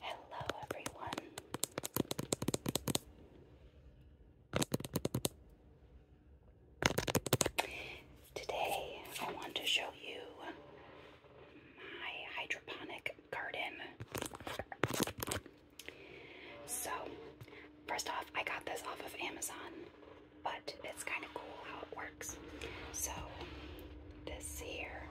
Hello, everyone. Today, I want to show you my hydroponic garden. So, first off, I got this off of Amazon, but it's kind of cool how it works. So, this here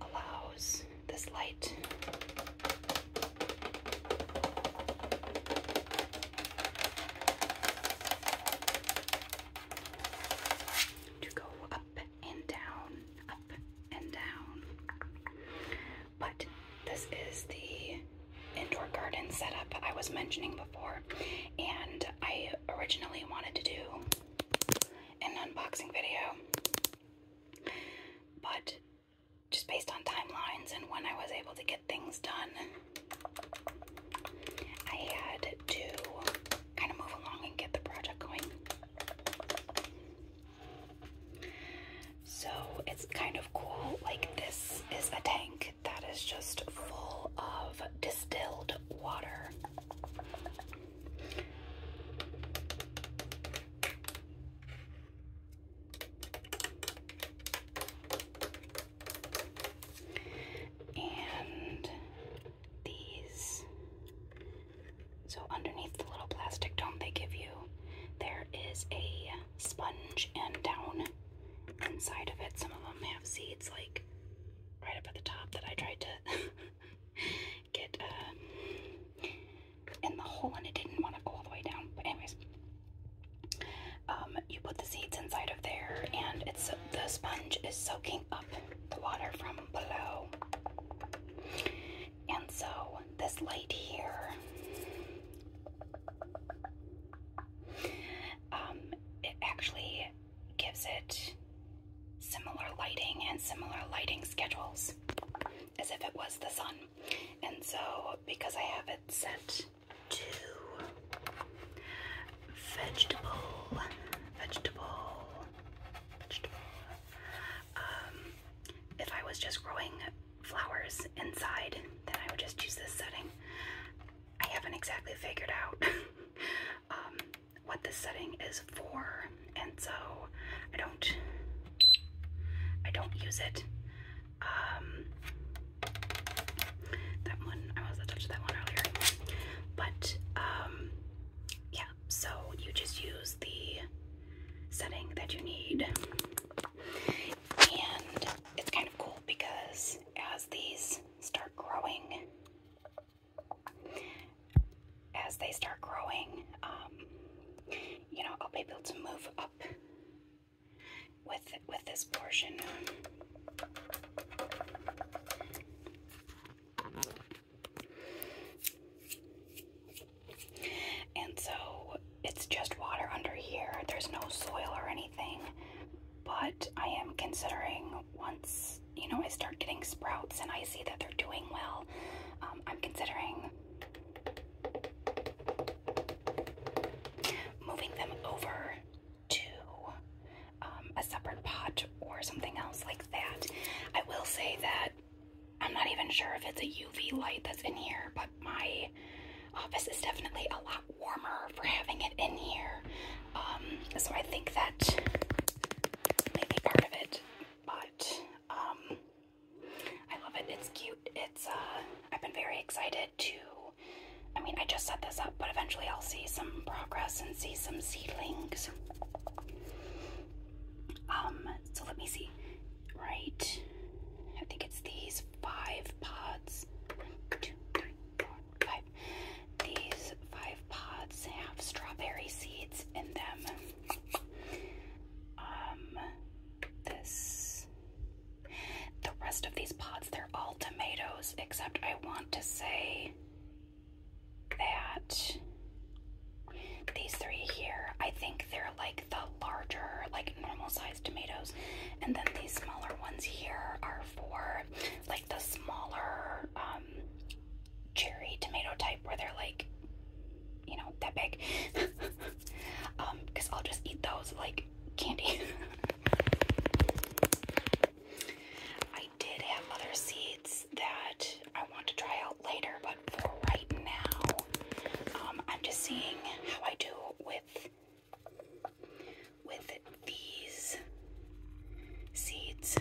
allows this light to go up and down, up and down. But this is the indoor garden setup I was mentioning before, and I originally wanted to do an unboxing video, but just based on timelines and when I was able to get things done, I had to kind of move along and get the project going. So it's kind of cool. Like, this is a tank that is just full of distilled water. And these. So, underneath the little plastic dome they give you, there is a sponge and down inside of it. Some of them have seeds, like right up at the top, that I tried to get um, in the hole and it didn't want to go all the way down. But, anyways, um, you put the seeds inside there, and it's the sponge is soaking up the water from below. And so this light here, um, it actually gives it similar lighting and similar lighting schedules as if it was the sun. And so because I have it set to vegetable, vegetable, vegetable. Um, if I was just growing flowers inside, then I would just use this setting. I haven't exactly figured out um, what this setting is for, and so I don't, I don't use it. Um, that one I was touched that one earlier. But um, yeah, so you just use the setting that you need. And it's kind of cool because as these start growing as they start growing, um, you know, I'll be able to move up with with this portion and so it's just water under here. There's no soil or anything. But I am considering once, you know, I start getting sprouts and I see that they're doing well, um, I'm considering moving them over to um, a separate pot or something else like that. I will say that I'm not even sure if it's a UV light that's in here, but my office is definitely a lot warmer for having it in here. Um, so I think that may be part of it, but um, I love it. It's cute. It's uh, I've been very excited to I mean, I just set this up, but eventually I'll see some progress and see some seedlings. Um, so let me see. Right, I think it's these five pods. One, two, three, four, five. These five pods have strawberry seeds in them. Um, this, the rest of these pods, they're all tomatoes, except I want to say that these three here, I think they're like the larger, like normal sized tomatoes. And then these smaller ones here are for like the smaller um, cherry tomato type where they're like, you know, that big. um, Because I'll just eat those like candy. I did have other seeds that I want to try out later, but for right now, um, I'm just seeing how I do with with these seeds.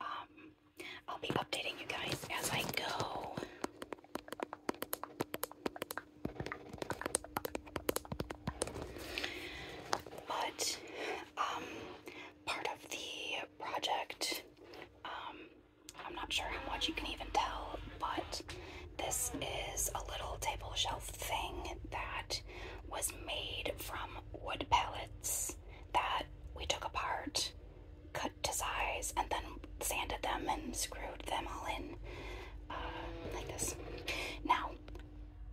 Um, I'll be updating you guys as I go. But um, part of the project, um, I'm not sure how much you can even tell, but this is a little table shelf thing that was made from wood pellets that we took apart, cut to size, and then sanded them and screwed them all in. Uh, like this. Now,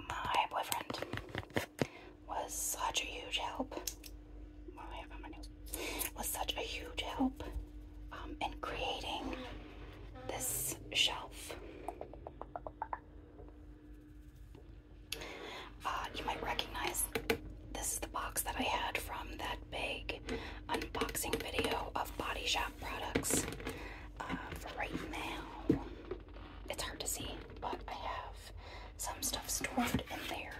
my boyfriend was such a huge help. Was such a huge help um, in creating this shelf. Uh, you might recognize this is the box that I had from that big unboxing video of Body Shop products. Uh, for right now, it's hard to see, but I have some stuff stored in there.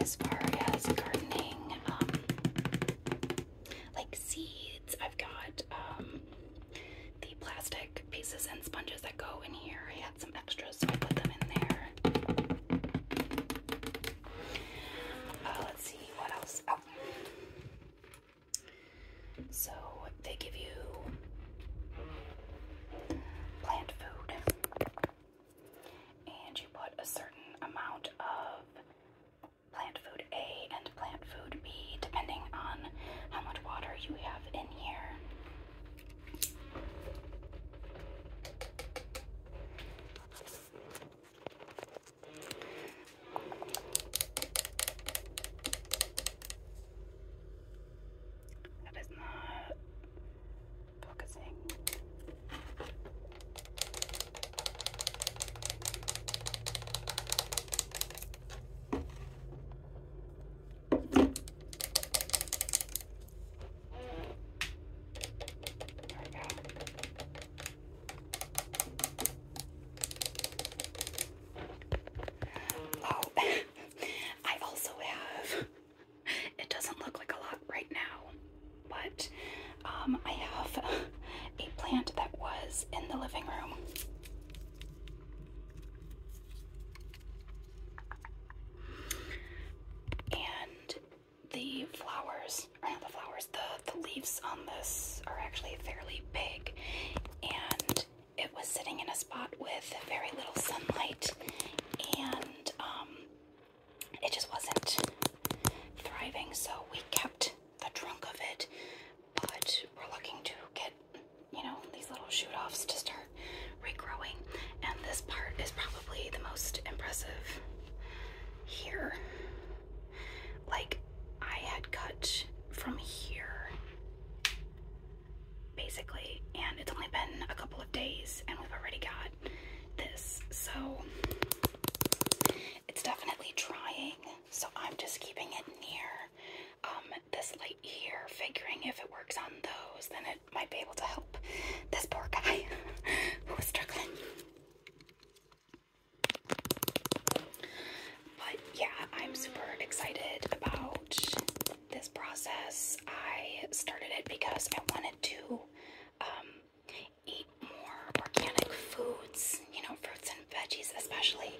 As far as gardening, um, like seeds, I've got um, the plastic pieces and sponges that go in here some extras, so I put them in there. Uh, let's see what else. Oh. So they give you plant food, and you put a certain amount of plant food A and plant food B, depending on how much water you have in here. That is not focusing. Oh, I also have, it doesn't look like a lot right now, but um, I have a plant that was in the living room the flowers, or the flowers, the, the leaves on this are actually fairly big, and it was sitting in a spot with very little sunlight, and um, it just wasn't thriving, so we kept the trunk of it, but we're looking to get, you know, these little shoot-offs to start regrowing, and this part is probably the most impressive here. Like, I had cut from here basically, and it's only been a couple of days, and we've already got this, so it's definitely trying. So, I'm just keeping it near um, this light here, figuring if it works on those, then it might be able to help this poor guy who struggling. But yeah, I'm super excited about this process. I started it because I wanted to um, eat more organic foods, you know, fruits and veggies especially.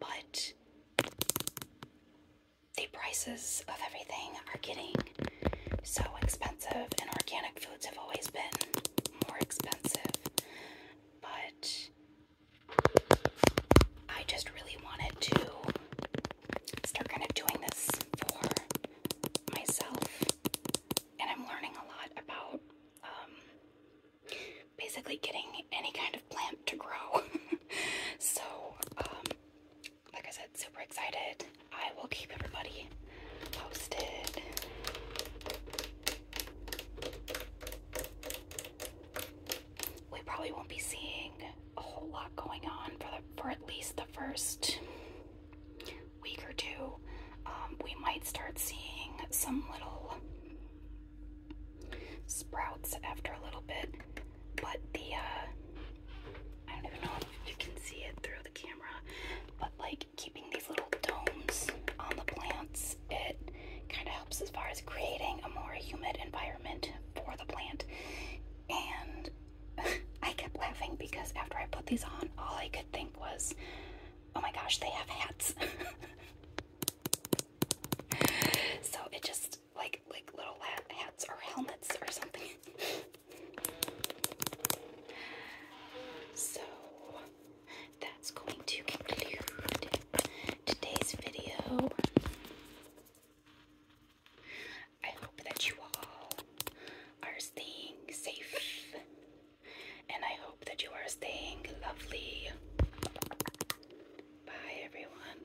But the prices of everything are getting so expensive, and organic foods have always been more expensive. But I just really wanted to start kind of doing this for myself, and I'm learning a lot about um, basically getting any kind of plant to grow. so, um, like I said, super excited. I will keep everybody posted. We probably won't be seeing a whole lot going on for the, for at least the first week or two. Um, we might start seeing some little sprouts after a little bit, but the uh, I don't even know if you can see it through the camera, but like keeping these little domes on the plants, it kind of helps as far as creating a more humid environment for the plant. And I kept laughing because after I put these on, all I could think was, oh my gosh, they have hats. so it just just like like little hats or helmets or something. so that's going to conclude today's video. I hope that you all are staying safe and I hope that you are staying lovely. Bye, everyone.